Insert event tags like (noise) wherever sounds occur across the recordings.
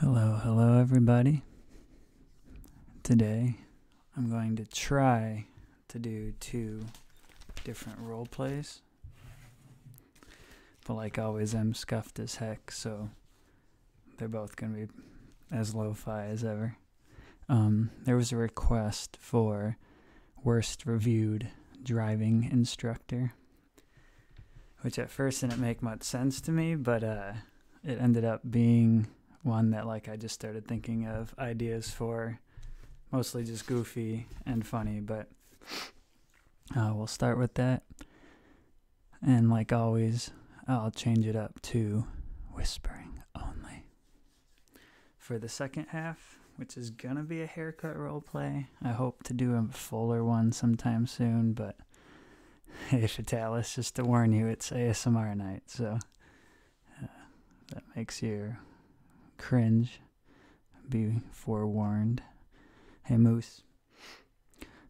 Hello, hello everybody. Today I'm going to try to do two different role plays. But like always, I'm scuffed as heck, so they're both going to be as lo fi as ever. Um, there was a request for worst reviewed driving instructor, which at first didn't make much sense to me, but uh, it ended up being one that like I just started thinking of ideas for, mostly just goofy and funny. But uh, we'll start with that, and like always, I'll change it up to whispering only for the second half. Which is gonna be a haircut role play. I hope to do a fuller one sometime soon, but (laughs) Hey Fatalis, just to warn you, it's ASMR night, so uh, that makes you cringe. Be forewarned. Hey Moose.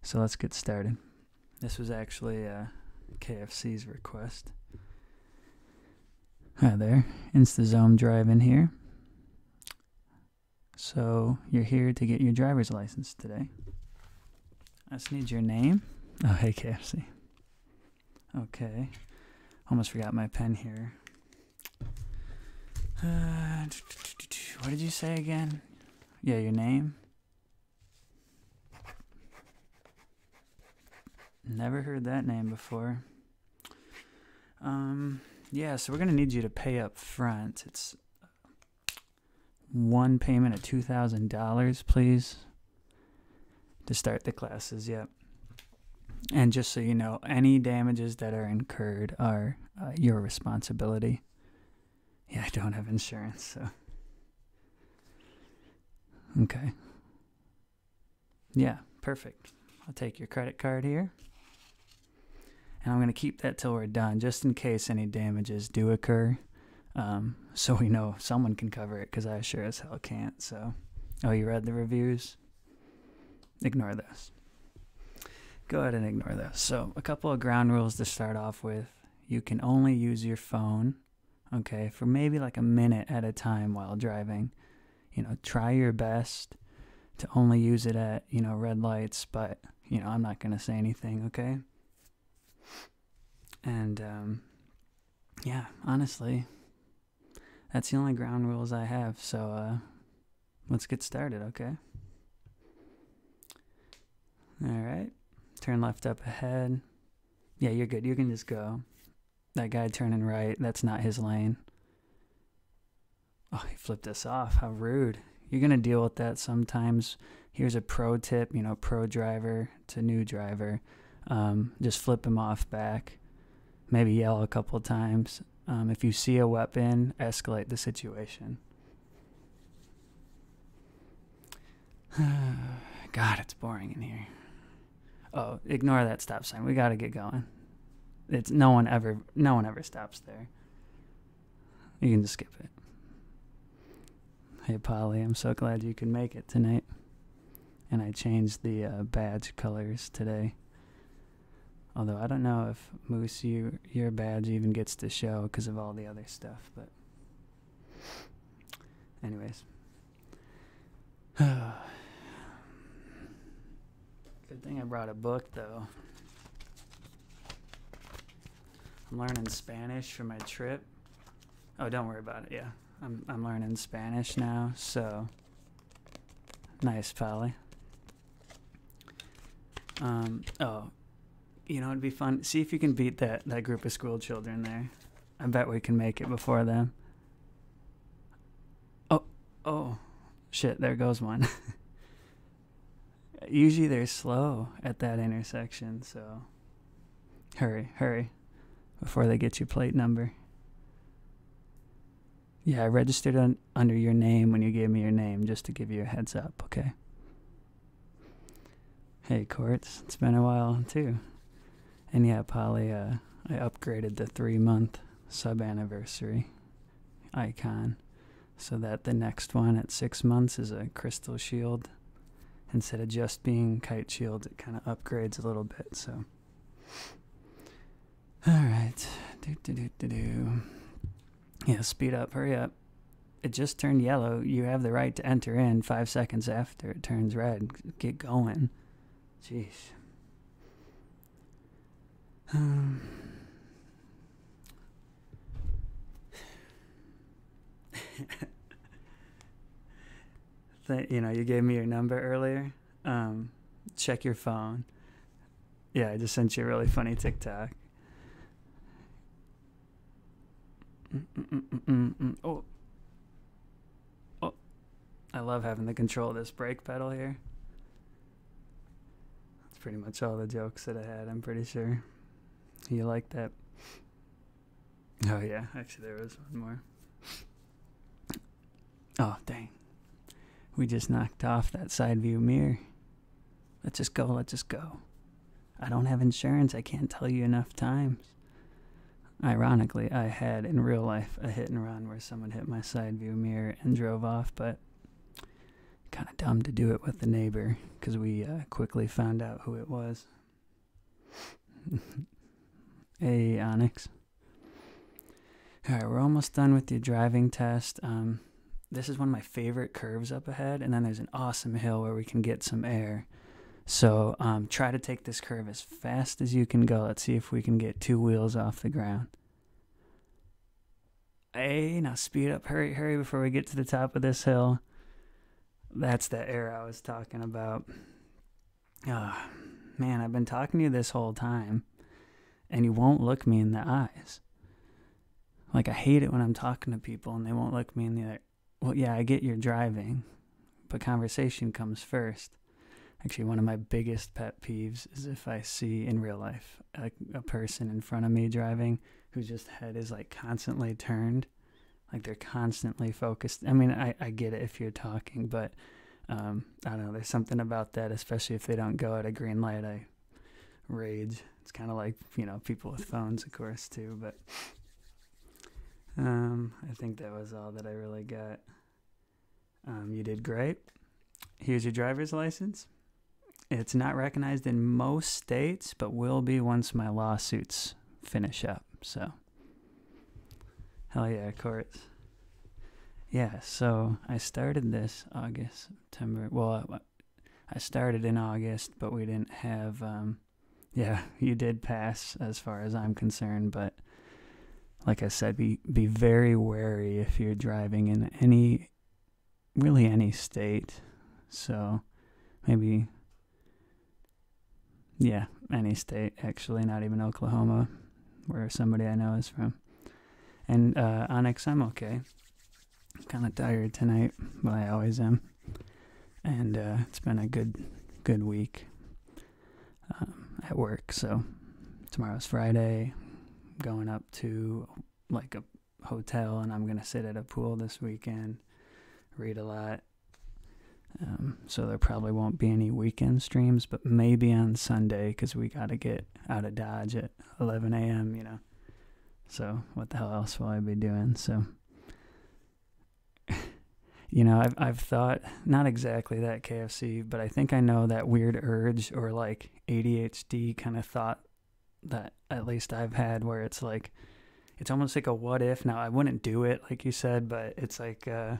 So let's get started. This was actually uh, KFC's request. Hi there, InstaZome Drive in here. So you're here to get your driver's license today. I just need your name. Oh, hey, KFC. Okay. Almost forgot my pen here. Uh, what did you say again? Yeah, your name. Never heard that name before. Um, yeah, so we're going to need you to pay up front. It's one payment of two thousand dollars, please, to start the classes. Yep. And just so you know, any damages that are incurred are uh, your responsibility. Yeah, I don't have insurance, so. Okay. Yeah, perfect. I'll take your credit card here. And I'm going to keep that till we're done, just in case any damages do occur. Um, (laughs) so we know someone can cover it, because I sure as hell can't. So, oh, you read the reviews? Ignore those. Go ahead and ignore those. So, a couple of ground rules to start off with. You can only use your phone, okay, for maybe like a minute at a time while driving. You know, try your best to only use it at you know, red lights, but, you know, I'm not going to say anything, okay? And, um, yeah, honestly, that's the only ground rules I have, so, uh, let's get started, okay? Alright, turn left up ahead. Yeah, you're good, you can just go. That guy turning right, that's not his lane. Oh, he flipped us off. How rude. You're going to deal with that sometimes here's a pro tip, you know, pro driver to new driver. Um, just flip him off back, maybe yell a couple times. Um, if you see a weapon, escalate the situation. (sighs) God, it's boring in here. Oh, ignore that stop sign. We got to get going. It's no one ever no one ever stops there. You can just skip it. Hey, Polly, I'm so glad you can make it tonight. And I changed the uh, badge colors today. Although I don't know if Moose, you, your badge even gets to show because of all the other stuff, but. Anyways. (sighs) Good thing I brought a book, though. I'm learning Spanish for my trip. Oh, don't worry about it. Yeah, I'm I'm learning Spanish now. So nice, Polly. Um. Oh, you know it'd be fun. See if you can beat that that group of school children there. I bet we can make it before them. Oh, oh, shit! There goes one. (laughs) Usually they're slow at that intersection, so hurry, hurry before they get your plate number. Yeah, I registered un under your name when you gave me your name, just to give you a heads up, okay? Hey, Quartz, it's been a while, too. And yeah, Polly, uh, I upgraded the three month sub anniversary icon so that the next one at six months is a crystal shield. Instead of just being kite shield, it kind of upgrades a little bit. So, all right, do do do do do. Yeah, speed up, hurry up. It just turned yellow. You have the right to enter in five seconds after it turns red. Get going. Jeez. Um, (laughs) you know you gave me your number earlier um, check your phone yeah i just sent you a really funny tiktok mm Oh. oh i love having the control of this brake pedal here that's pretty much all the jokes that I had, I'm pretty sure. You like that? Oh, yeah. Actually, there was one more. Oh, dang. We just knocked off that side view mirror. Let's just go, let's just go. I don't have insurance, I can't tell you enough times. Ironically, I had in real life a hit and run where someone hit my side view mirror and drove off, but kind of dumb to do it with the neighbor because we uh, quickly found out who it was. A (laughs) Onyx. Alright, we're almost done with your driving test. Um, this is one of my favorite curves up ahead, and then there's an awesome hill where we can get some air. So um, try to take this curve as fast as you can go. Let's see if we can get two wheels off the ground. Hey, now speed up, hurry, hurry before we get to the top of this hill. That's the air I was talking about. Oh, man, I've been talking to you this whole time, and you won't look me in the eyes. Like, I hate it when I'm talking to people and they won't look me in the eye. Well, yeah, I get your driving, but conversation comes first. Actually, one of my biggest pet peeves is if I see in real life a, person in front of me driving whose just head is like constantly turned like they're constantly focused i mean i, I get it if you're talking but um, i don't know there's something about that especially if they don't go at a green light i rage it's kind of like you know people with phones of course too but um, i think that was all that i really got um, you did great here's your driver's license it's not recognized in most states, but will be once my lawsuits finish up. So, hell yeah, courts. Yeah, so I started this August, September. Well, I started in August, but we didn't have. Um, (laughs) yeah, you did pass as far as I'm concerned, but like I said, be be very wary if you're driving in any really any state. So maybe, yeah, any state, actually, not even Oklahoma, where somebody I know is from. And uh, Onyx, I'm okay. I'm kind of tired tonight, but I always am. And uh, it's been a good, good week um, at work. So tomorrow's Friday. going up to like a hotel and I'm going to sit at a pool this weekend, read a lot. Um, so there probably won't be any weekend streams, but maybe on Sunday because we got to get out of Dodge at 11 a.m., you know. So what the hell else will I be doing? So, (laughs) you know, I've, I've thought, not exactly that KFC, but I think I know that weird urge or like ADHD kind of thought that at least I've had where it's like it's almost like a what if. Now I wouldn't do it like you said, but it's like uh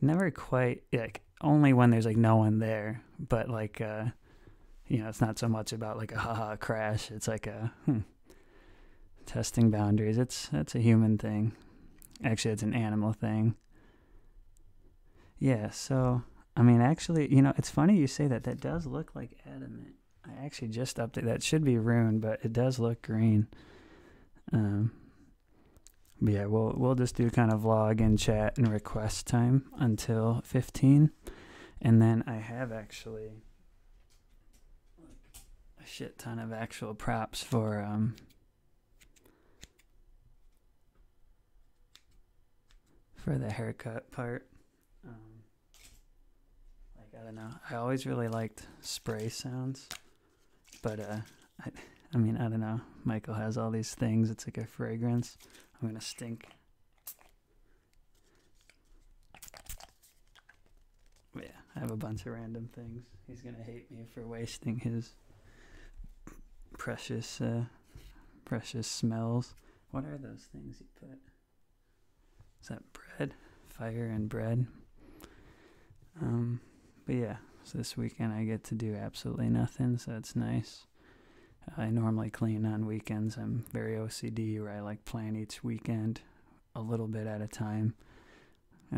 never quite like only when there's like no one there, but like uh you know, it's not so much about like a haha crash. It's like a hmm, testing boundaries. It's it's a human thing. Actually, it's an animal thing. Yeah, so I mean, actually, you know, it's funny you say that. That does look like adamant. I actually just updated. That should be rune, but it does look green. Um, but yeah, we'll we'll just do kind of vlog and chat and request time until 15, and then I have actually a shit ton of actual props for um for the haircut part. Um, like I don't know. I always really liked spray sounds, but uh, I, I mean I don't know. Michael has all these things. It's like a fragrance. I'm gonna stink. yeah, I have a bunch of random things. He's gonna hate me for wasting his precious, uh, precious smells. What are those things you put? Is that bread? Fire and bread. Um, but yeah, so this weekend I get to do absolutely nothing, so it's nice. I normally clean on weekends. I'm very OCD where I like plan each weekend a little bit at a time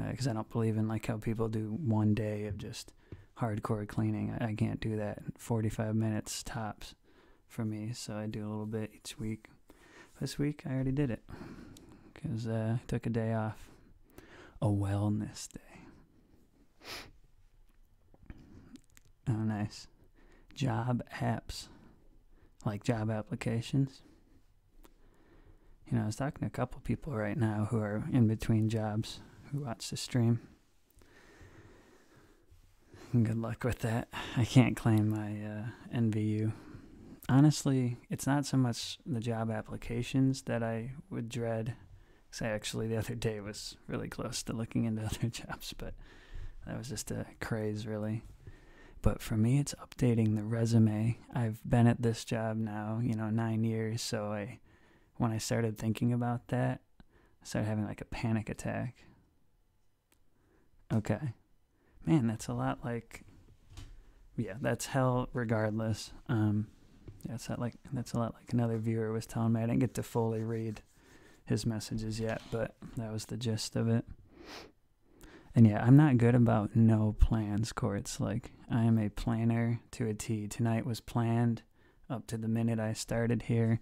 because uh, I don't believe in like how people do one day of just hardcore cleaning. I can't do that. 45 minutes tops for me, so I do a little bit each week. This week I already did it because uh, I took a day off, a wellness day. Oh, nice. Job apps, like job applications. You know, I was talking to a couple people right now who are in between jobs who watch the stream. Good luck with that. I can't claim I uh, envy Honestly, it's not so much the job applications that I would dread. Cause I actually the other day was really close to looking into (laughs) other jobs, but that was just a craze, really. But for me, it's updating the resume. I've been at this job now, you know, nine years. So I, when I started thinking about that, that, I started having like a panic attack. Okay. Man, that's a lot like yeah, that's hell regardless. Um yeah, it's not like that's a lot like another viewer was telling me. I didn't get to fully read his messages yet, but that was the gist of it. And yeah, I'm not good about no plans, Courts. Like I am a planner to a T. Tonight was planned up to the minute I started here,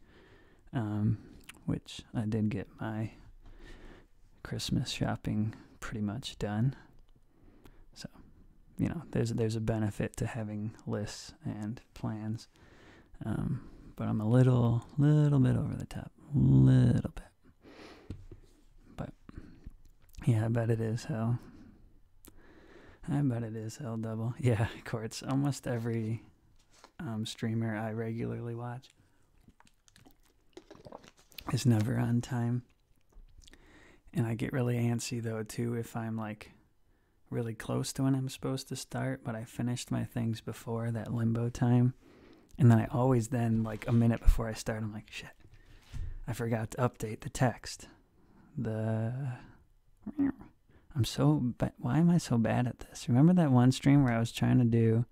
um, which I did get my Christmas shopping pretty much done. So, you know, there's there's a benefit to having lists and plans, um, but I'm a little little bit over the top, a little bit. But yeah, I bet it is hell. I bet it is hell double. (laughs) Yeah, courts. Almost every um, streamer I regularly watch is never on time. And I get really antsy though too if I'm like really close to when I'm supposed to start, but I finished my things before that limbo time. And then I always then like a minute before I start I'm like shit. I forgot to update the text. The I'm so bad. Why am I so bad at this? Remember that one stream where I was trying to do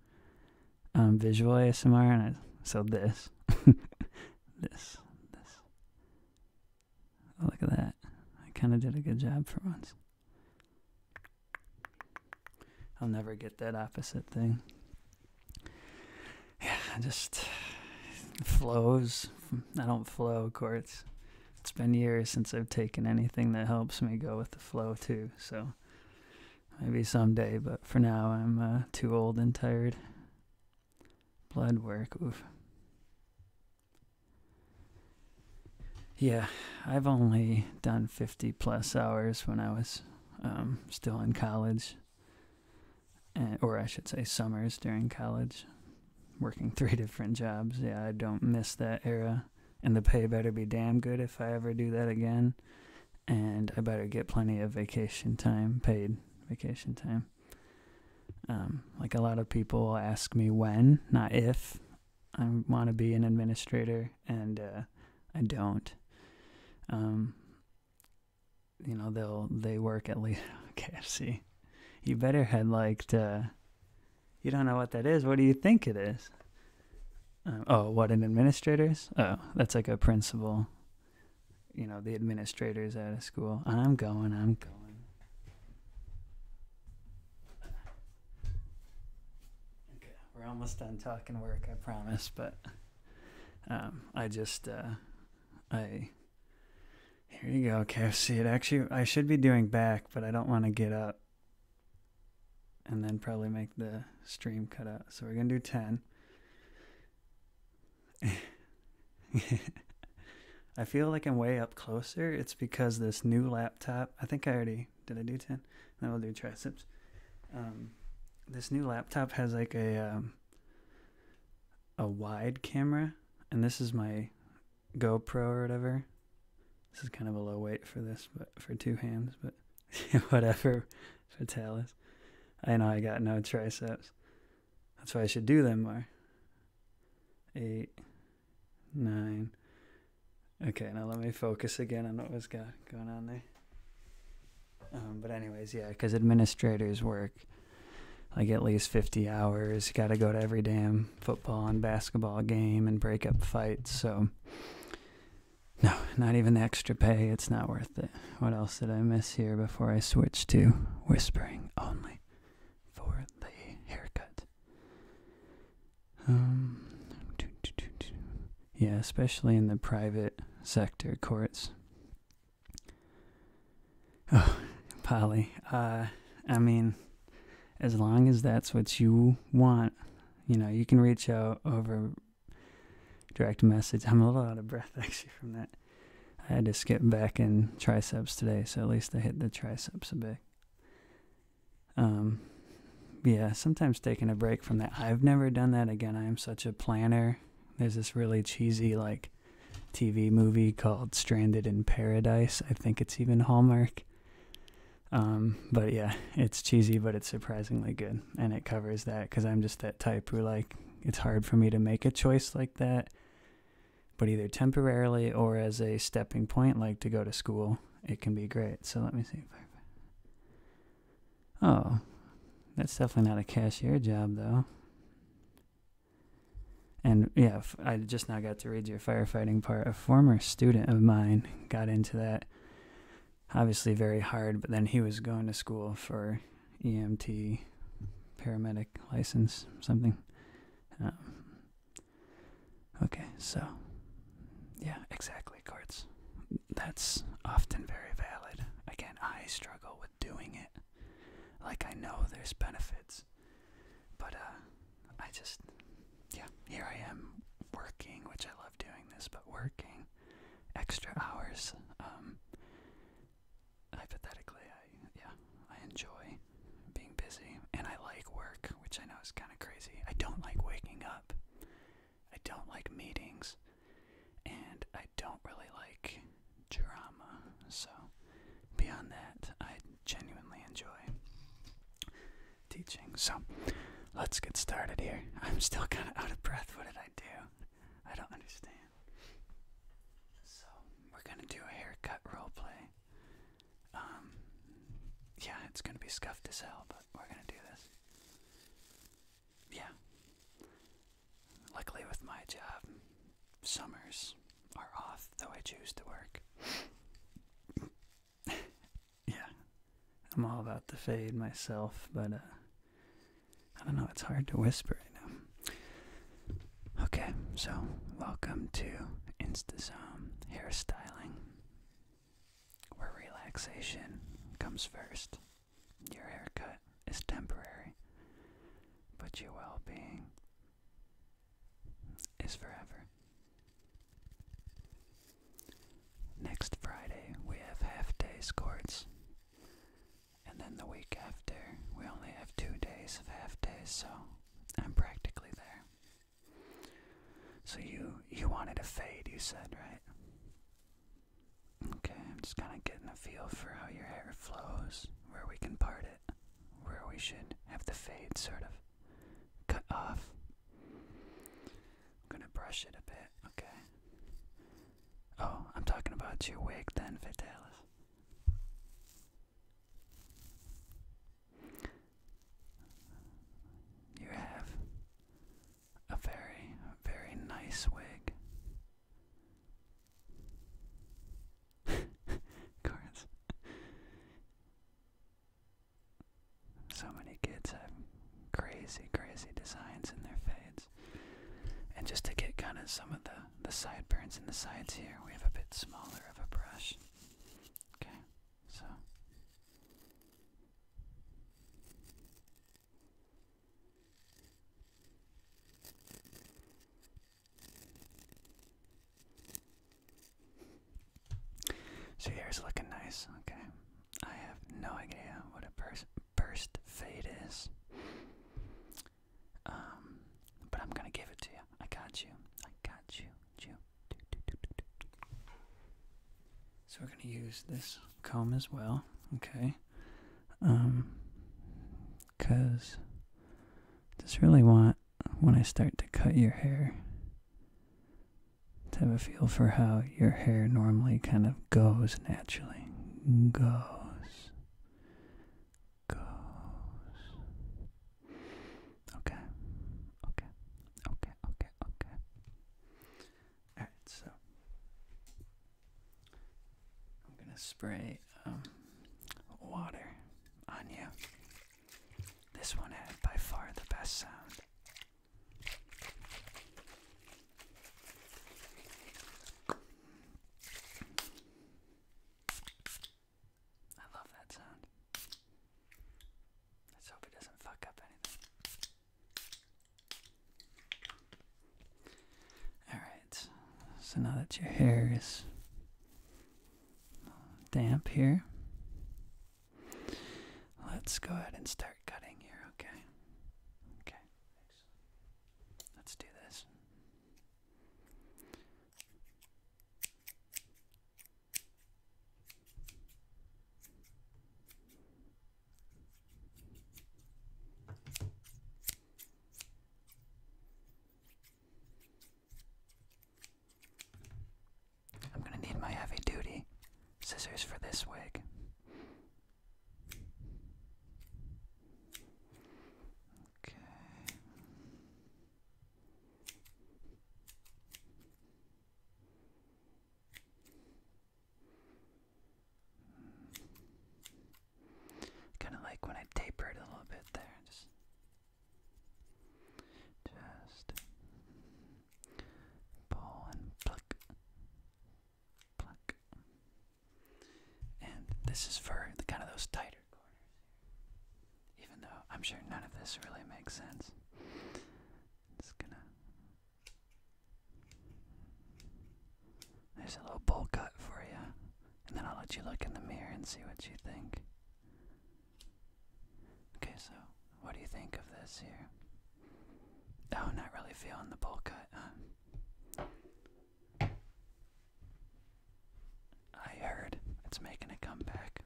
um, visual ASMR and I, so this, (laughs) this, this. Look at that. I kind of did a good job for once. I'll never get that opposite thing. Yeah, just flows. I don't flow, courts it's been years since I've taken anything that helps me go with the flow too. So maybe someday, but for now I'm uh, too old and tired. Blood work, oof. Yeah, I've only done 50 plus hours when I was um, still in college, or I should say summers during college working three (laughs) different jobs. Yeah, I don't miss that era. And the pay better be damn good if I ever do that again. And I better get plenty of vacation time, paid vacation time. Um, like a lot of people ask me when, not if, I want to be an administrator, and uh, I don't. Um, you know, they'll they work at least KFC. (laughs) You better had liked uh, you don't know what that is. What do you think it is? Um, oh, what an administrator's? Oh, that's like a principal. You know, the administrators at a school. I'm going. I'm going. we're almost done talking work, I promise. But um, I just, uh, I here you go, KFC. It actually, I should be doing back, but I don't want to get up and then probably make the stream cut out. So we're going to do 10. (laughs) I feel like I'm way up closer. It's because this new laptop, I think I already, did I do 10? Then we'll do triceps. Um, this new laptop has like a, um, a wide camera and this is my GoPro or whatever. This is kind of a low weight for this, but for two hands, but (laughs) whatever fatalis. I know I got no triceps. That's why I should do them more. Eight, nine. Okay, now let me focus again on what was go- going on there. Um, but anyways, yeah, because administrators work like at least 50 hours, You got to go to every damn football and basketball game and breakup fights. So, no, not even the extra pay. It's not worth it. What else did I miss here before I switch to whispering only for the haircut? Um, yeah, especially in the private sector courts. Oh, Polly. Uh, I mean, as long as that's what you want, you know, you can reach out over direct message. I'm a little out of breath (laughs) actually from that. I had to skip back in triceps today, so at least I hit the triceps a bit. Um, yeah, sometimes taking a break from that. I've never done that again. I am such a planner. There's this really cheesy like TV movie called Stranded in Paradise. I think it's even Hallmark. Um, but yeah, it's cheesy, but it's surprisingly good, and it covers that because I'm just that type who like it's hard for me to make a choice like that. But either temporarily or as a stepping point, like to go to school, it can be great. So let me see if I. Oh, that's definitely not a cashier job though and yeah, I just now got to read your firefighting part. A former student of mine got into that, obviously very hard, but then he was going to school for EMT, paramedic license, something. Um, okay, so yeah, exactly, Courts. That's often very valid. Again, I struggle with doing it. Like, I know there's benefits but uh, I just, yeah, here I am working, which I love doing this, but working extra hours. Um, hypothetically, yeah, I enjoy being busy, and I like work, which I know is kind of crazy. I don't like waking up. I don't like meetings, and I don't really like drama. So beyond that, I genuinely enjoy teaching. So let's get started here. (laughs) I'm still kind of out of breath. What did I do? I don't understand. So we're gonna do a haircut role play. Um, yeah, it's gonna be scuffed as hell, but we're gonna do this. Yeah. Luckily, with my job, summers are off, though I choose to work. (laughs) yeah, I'm all about the fade myself, but uh, I don't know, it's hard to whisper right now. Okay, so welcome to InstaZone Hairstyling, where relaxation comes first. Your haircut is temporary, but your well being is forever. Next Friday, we have half day scores, And then the week after, we only have two days of half days, so I'm practically there. So you you wanted a fade, you said, right? Okay, I'm just kind of getting a feel for how your hair flows, where we can part it where we should have the fade sort of cut off. I'm gonna brush it a bit, okay. Oh, I'm talking about your wig then, Vitalis. You have a very, very nice wig. (laughs) cards. So many kids have crazy, crazy designs in their fades. And just to get kind of some of the, the sideburns and the sides here, we have a bit smaller of a brush. Okay, so. So yours looking nice, okay. I have no idea what a burst, fade is. Um, but I'm gonna give it to you. I got you. I got you. So we're gonna use this comb as well, okay? Um, cause I just really want when I start to cut your hair to have a feel for how your hair normally kind of goes naturally. Goes. Goes. Okay. Okay. Okay. Okay. Okay. Alright, so I'm going to spray um, water on you. This one had by far the best sound. I love that sound. Let's hope it doesn't fuck up anything. Alright, so now that your hair is damp here. Let's go ahead and start cutting here, okay? Okay. Let's do this. I'm gonna need my heavy duty scissors for this wig. Okay. Kind of like when I tapered a little bit there, just pull and pluck, pluck. And this is for the kind of those tighter corners. Even though I'm sure none of this really makes sense. Just gonna. There's a little bowl cut for you, and then I'll let you look in the mirror and see what you think. Okay, so what do you think of this here? Oh, not really feeling the bowl cut, I heard it's making a comeback.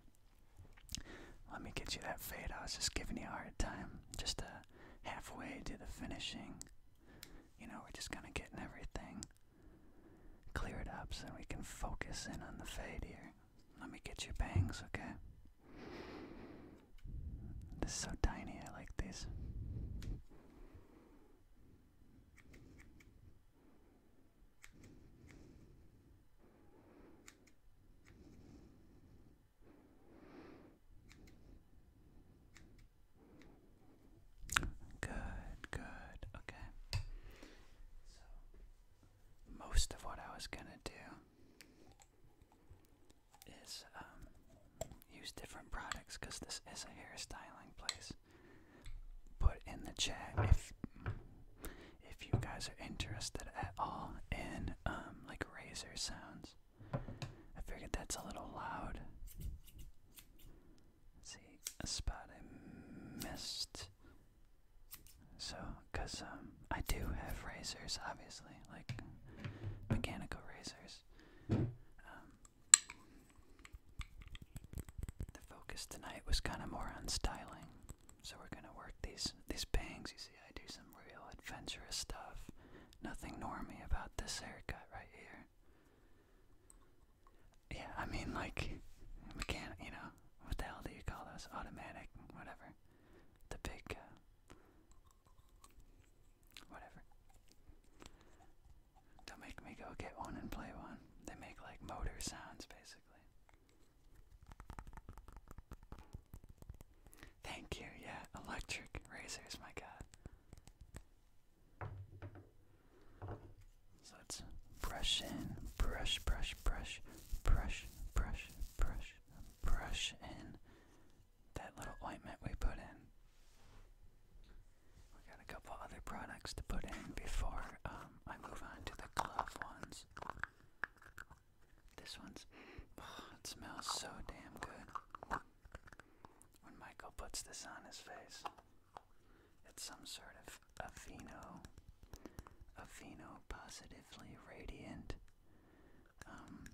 Let me get you that fade. I was just giving you a hard time. Just uh, halfway to the finishing. You know, we're just kind of getting everything clear it up so we can focus in on the fade here. Let me get your bangs, okay? This is so tiny, I like these. Good, good, okay most of what I was gonna do is um, use different products because this is a hairstyling place. Put in the chat if if you guys are interested at all in um, like razor sounds. I figured that's a little loud. Let's see, a spot I missed. So, cause um, I do have razors, obviously, like mechanical razors. Um, the focus tonight was kind of more on styling, so we're gonna work these these bangs. You see, I do some real adventurous stuff. Nothing normy about this haircut right here. Yeah, I mean, like, mechanic, you know, what the hell do you call those? Automatic, whatever. The big, uh, whatever. They make me go get one and play one. They make, like, motor sounds, basically. Thank you, yeah, electric razors, my god. So let's brush in, brush, brush, brush, brush, brush, brush, brush in that little ointment we put in. We got a couple other products to put in before um, I move on to the glove ones. This one's, oh, it smells so damn good when Michael puts this on his face. It's some sort of Aveeno, Aveeno positively radiant. Um,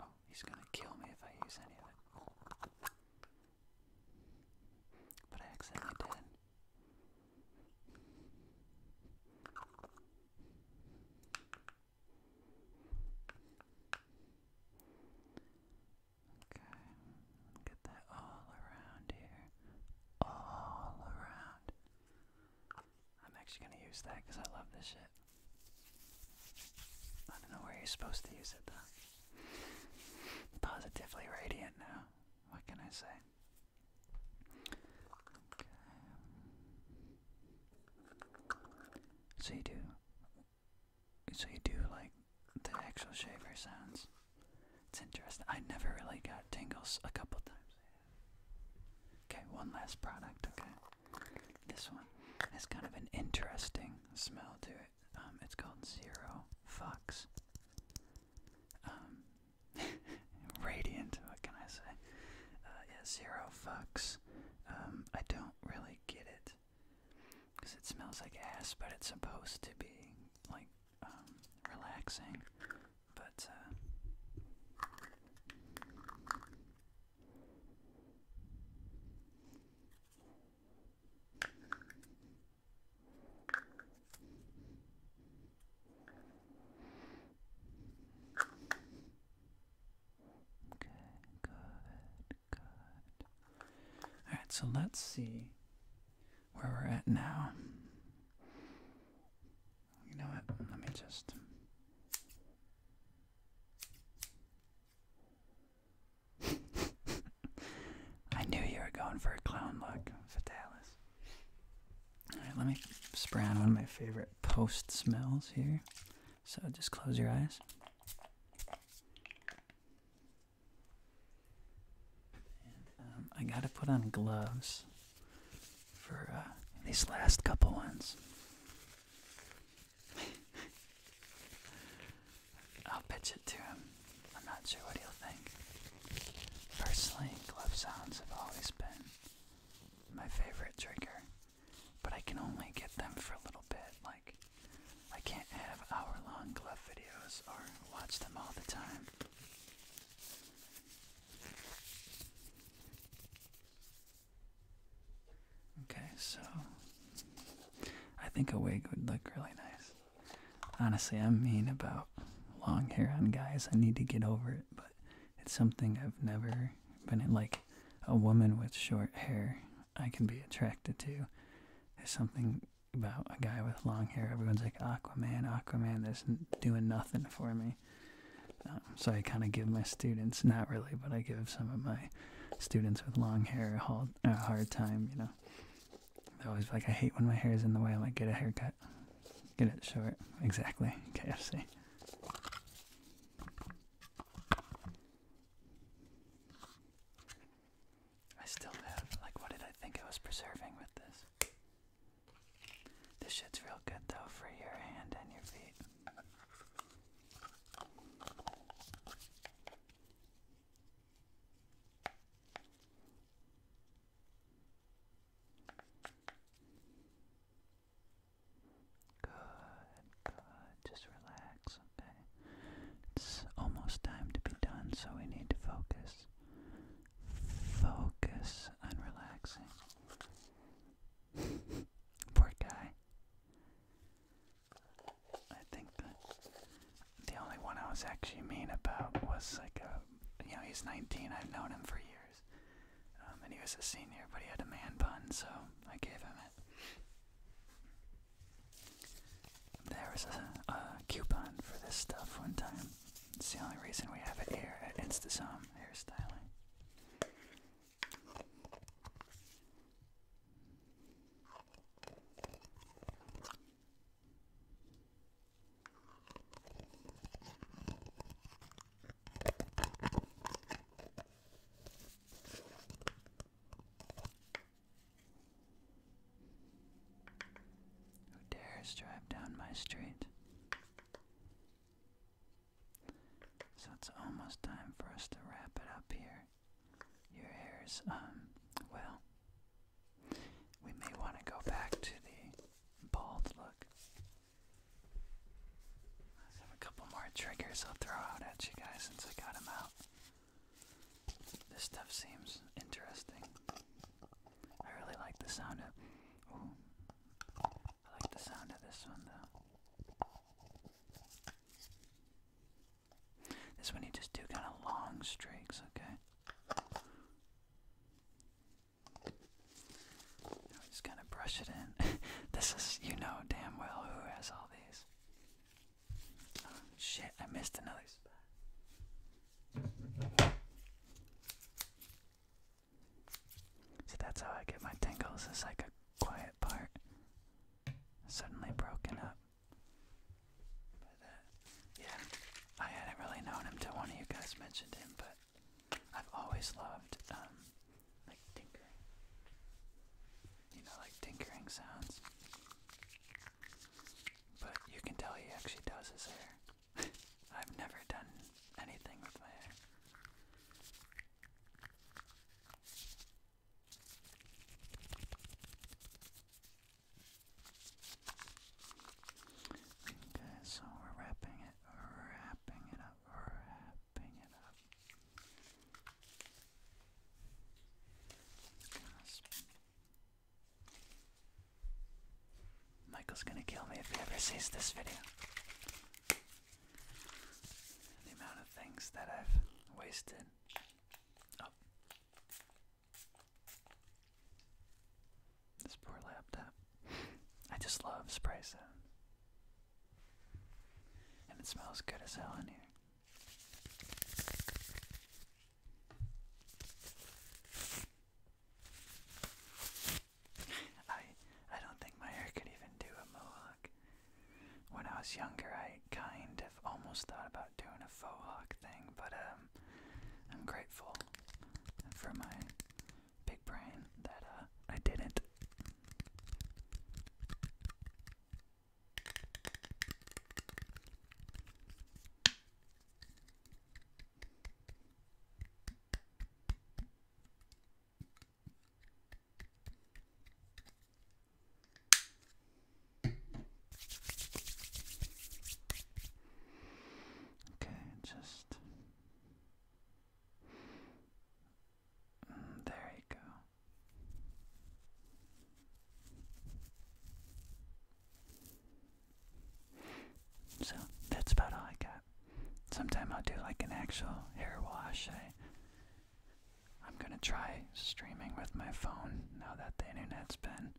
oh, he's gonna kill me if I use any of it. But I accidentally did. Okay, get that all around here. All around. I'm actually gonna use that because I love this shit. I don't know where you're supposed to use it though. Positively radiant now. What can I say? Okay. So you do so you do like the actual shaver sounds. It's interesting. I never really got tingles a couple times. Okay, one last product, okay? This one has kind of an interesting smell to it. Um, it's called Zero Fox. Um, (laughs) radiant, what can I say? Uh, yeah, Zero Fox. Um, I don't really get it. Because it smells like ass, but it's supposed to be, like, um, relaxing. But, uh. good, good. Alright, so let's see where we're at now. You know what? Let me just. (laughs) I knew you were going for a clown look, Fatalis. Alright, let me spray on one of my favorite post smells here. So just close your eyes. Um, I gotta put on gloves for uh, these last couple ones. (laughs) I'll pitch it to him. I'm not sure what he'll think. Personally, glove sounds have always been my favorite trigger, but I can only get them for a little bit. I can't have hour-long glove videos or watch them all the time. Okay, so I think a wig would look really nice. Honestly, i mean about long hair on guys. I need to get over it, but it's something I've never been Like a woman with short hair, I can be attracted to. There's something about a guy with long hair. Everyone's like, Aquaman, Aquaman, that's doing nothing for me. Um, so I kind of give my students, not really, but I give some of my students with long hair a, hard time, you know. They're always like, I hate when my hair is in the way. I'm like, get a haircut. Get it short. Exactly. (laughs) KFC. I still have, like, what did I think I was preserving with this? This shit's real good though for your hand and your feet. Good. Just relax, okay? It's almost time to be done, so we need to focus. Focus on relaxing. (laughs) Poor guy. I think the only one I was actually mean about was like a, you know, he's 19, I've known him for years. Um, and he was a senior, but he had a man bun, so I gave him it. There was a, coupon for this stuff one time. It's the only reason we have it here at InstaSum Hairstyling. Who dares drive down my street? So it's almost time for us to wrap it up here. Your hair's, um, well, we may want to go back to the bald look. I have a couple more triggers I'll throw out at you guys since I got them out. This stuff seems interesting. I really like the sound of. I like the sound of this one though. This one you just do kind of long streaks, okay? just kind of brush it in. (laughs) this is, you know damn well who has all these. Oh, shit, I missed another spot. See, that's how I get my tingles. It's like a quiet part. Suddenly broken up. Uh, yeah, I hadn't really known him till one of you guys mentioned him, but I've always loved, um, like, tinkering you know, like tinkering sounds. But you can tell he actually does his hair. (laughs) I've never done anything with my hair. Okay, so we're wrapping it, wrapping it up, wrapping it up. Michael's gonna kill me if he ever sees this video. The amount of things that I've wasted. Oh. This poor laptop. I just love spray sound. And it smells good as hell in here. I I don't think my hair could even do a mohawk. When I was younger, I kind of almost thought about doing a faux hawk thing, but um, I'm grateful for my big brain that uh, I didn't. Okay, just mm, there you go. So that's about all I got. Sometime I'll do like an actual hair wash. I, am gonna try streaming with my phone now that the internet's been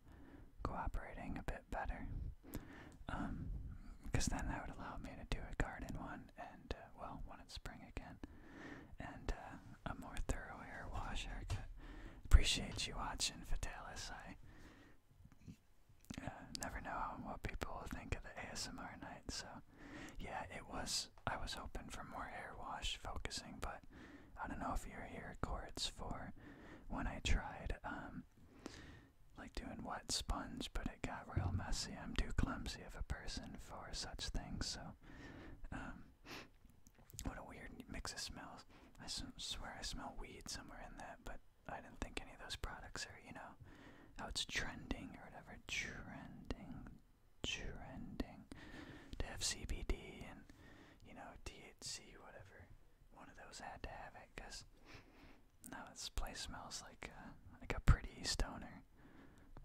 cooperating a bit better. because um, then that would allow me to do a garden one, and uh, well, spring again, and uh, a more thorough hair wash haircut. Appreciate you watching, Fatalis. I uh, never know what people will think of the ASMR night, so yeah, it was. I was hoping for more hair wash focusing, but I don't know if you're here, Cords, for when I tried, um, like doing wet sponge, but it got real messy. I'm too clumsy of a person for such things, so um, what a weird mix of smells. I swear I smell weed somewhere in that, but I didn't think any of those products are, you know, how it's trending or whatever. Trending, trending. To have CBD and, you know, THC, whatever. One of those had to have it, because now this place smells like a, uh, like a pretty stoner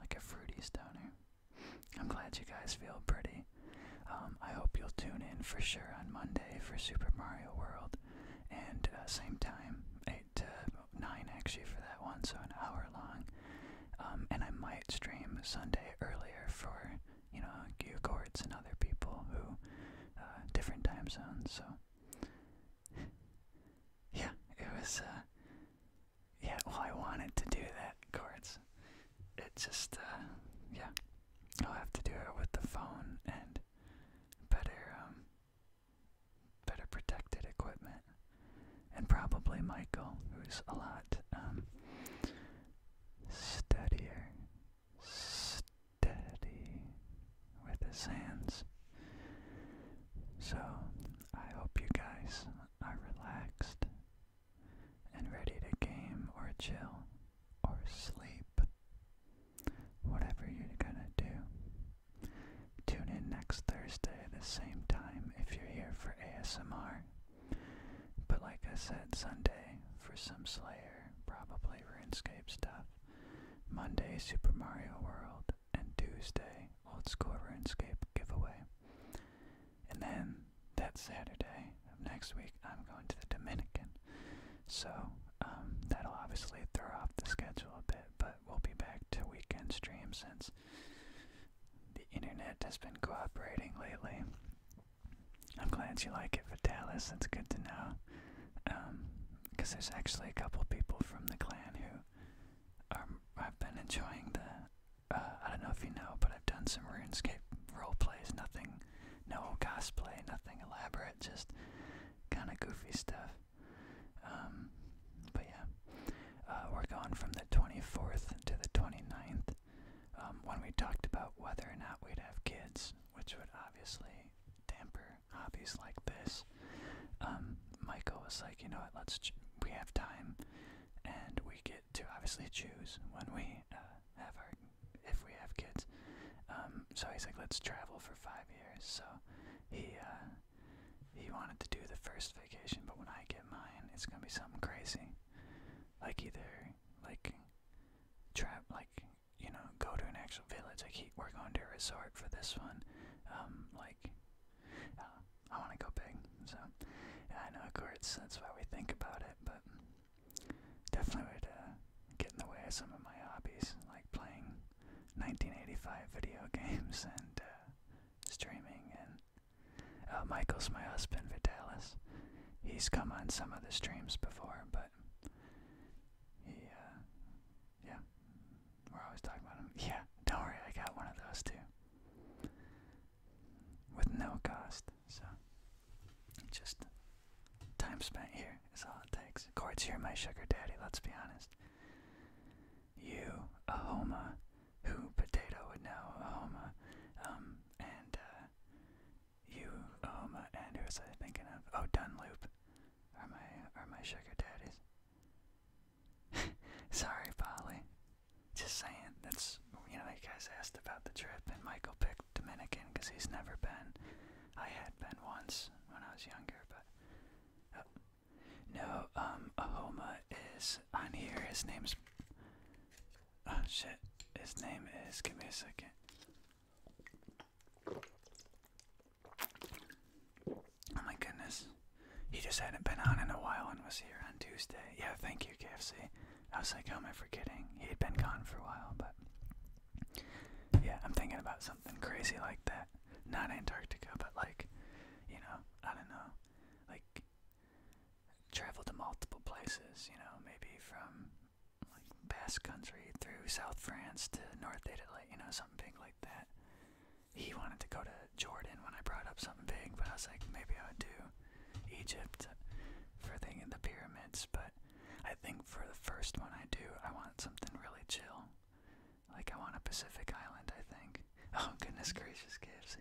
like a fruity stoner. I'm glad you guys feel pretty. Um, I hope you'll tune in for sure on Monday for Super Mario World, and uh, same time, 8 to 9 actually for that one, so an hour long. Um, and I might stream Sunday earlier for, you know, you Courts and other people who, uh, different time zones, so. (laughs) yeah, it was, uh, yeah, well, I wanted to do that, of It just, uh, yeah. I'll have to do it with the phone and better, um, better protected equipment. And probably Michael, who's a lot, um, steadier, steady with his hands. So, I hope you guys are relaxed and ready to game or chill or sleep. Whatever you're gonna do. Tune in next Thursday at the same time if you're here for ASMR. But like I said, Sunday for some Slayer, probably RuneScape stuff. Monday, Super Mario World, and Tuesday, Old School RuneScape giveaway. And then that Saturday of next week, I'm going to the Dominican. So um, that'll obviously throw off the schedule a bit, but we'll be back to weekend stream since the internet has been cooperating lately. I'm glad you like it, Vitalis. That's good to know. Because um, there's actually a couple people from the clan who are, have been enjoying the uh, I don't know if you know, but I've done some RuneScape roleplays. Nothing, no cosplay, nothing elaborate, just kind of goofy stuff. Um, but yeah, uh, we're going from the 24th to the 29th. Um, when we talked about whether or not we'd have kids, which would obviously damper hobbies like this, um, Michael was like, you know what, let's, we have time, and we." we get to obviously choose when we uh, have our if we have kids. Um, so he's like, let's travel for five years. So he uh, he wanted to do the first vacation, but when I get mine, it's gonna be something crazy, like either like trap like you know go to an actual village. Like he, we're going to a resort for this one, um, like. Uh, I want to go big. So, yeah, I know, of course, that's why we think about it, but definitely would uh, get in the way of some of my hobbies, like playing 1985 video (laughs) games and uh, streaming. And uh, Michael's my husband, Vitalis. He's come on some of the streams before, but he, uh, yeah, we're always talking about him. (laughs) Yeah, don't worry, I got one of those too with no cost. So just time spent here is all it takes. Court's here, my sugar daddy, let's be honest. You, Ahoma, who Potato would know, Ahoma, um, and uh, you, Ahoma, and who was I thinking of? Oh, Dunloop are my, are my sugar daddies. (laughs) Sorry, Polly. Just saying. That's you know, you guys asked about the trip, and Michael picked Dominican because he's never been. I had been once when I was younger, but uh, no. Um, Ahoma is on here. His name's oh shit. His name is. Give me a second. Oh my goodness. He just hadn't been on in a while and was here on Tuesday. Yeah, thank you, KFC. I was like, how am forgetting? He had been gone for a while, but yeah, I'm thinking about something crazy like that. Not Antarctica, but like, you know, I don't know, like travel to multiple places. You know, maybe from like Basque Country through South France to North Italy. You know, something big like that he wanted to go to Jordan when I brought up something big, but I was like, maybe I would do Egypt for thing in the pyramids. But I think for the first one I do, I want something really chill. Like, I want a Pacific island, I think. (laughs) Oh, goodness gracious, KFC.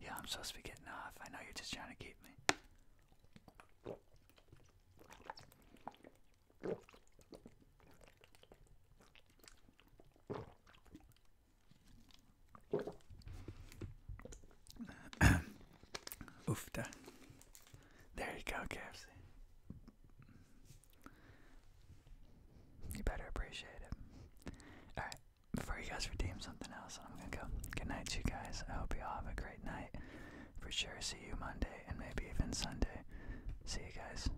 Yeah, I'm supposed to be getting off. I know you're just trying to keep me. (coughs) Oofta. There you go, KFC. You better appreciate it. Alright, before you guys redeem something else, I'm gonna go. Good night, you guys. I hope you all have a great night. For sure, see you Monday and maybe even Sunday. See you guys.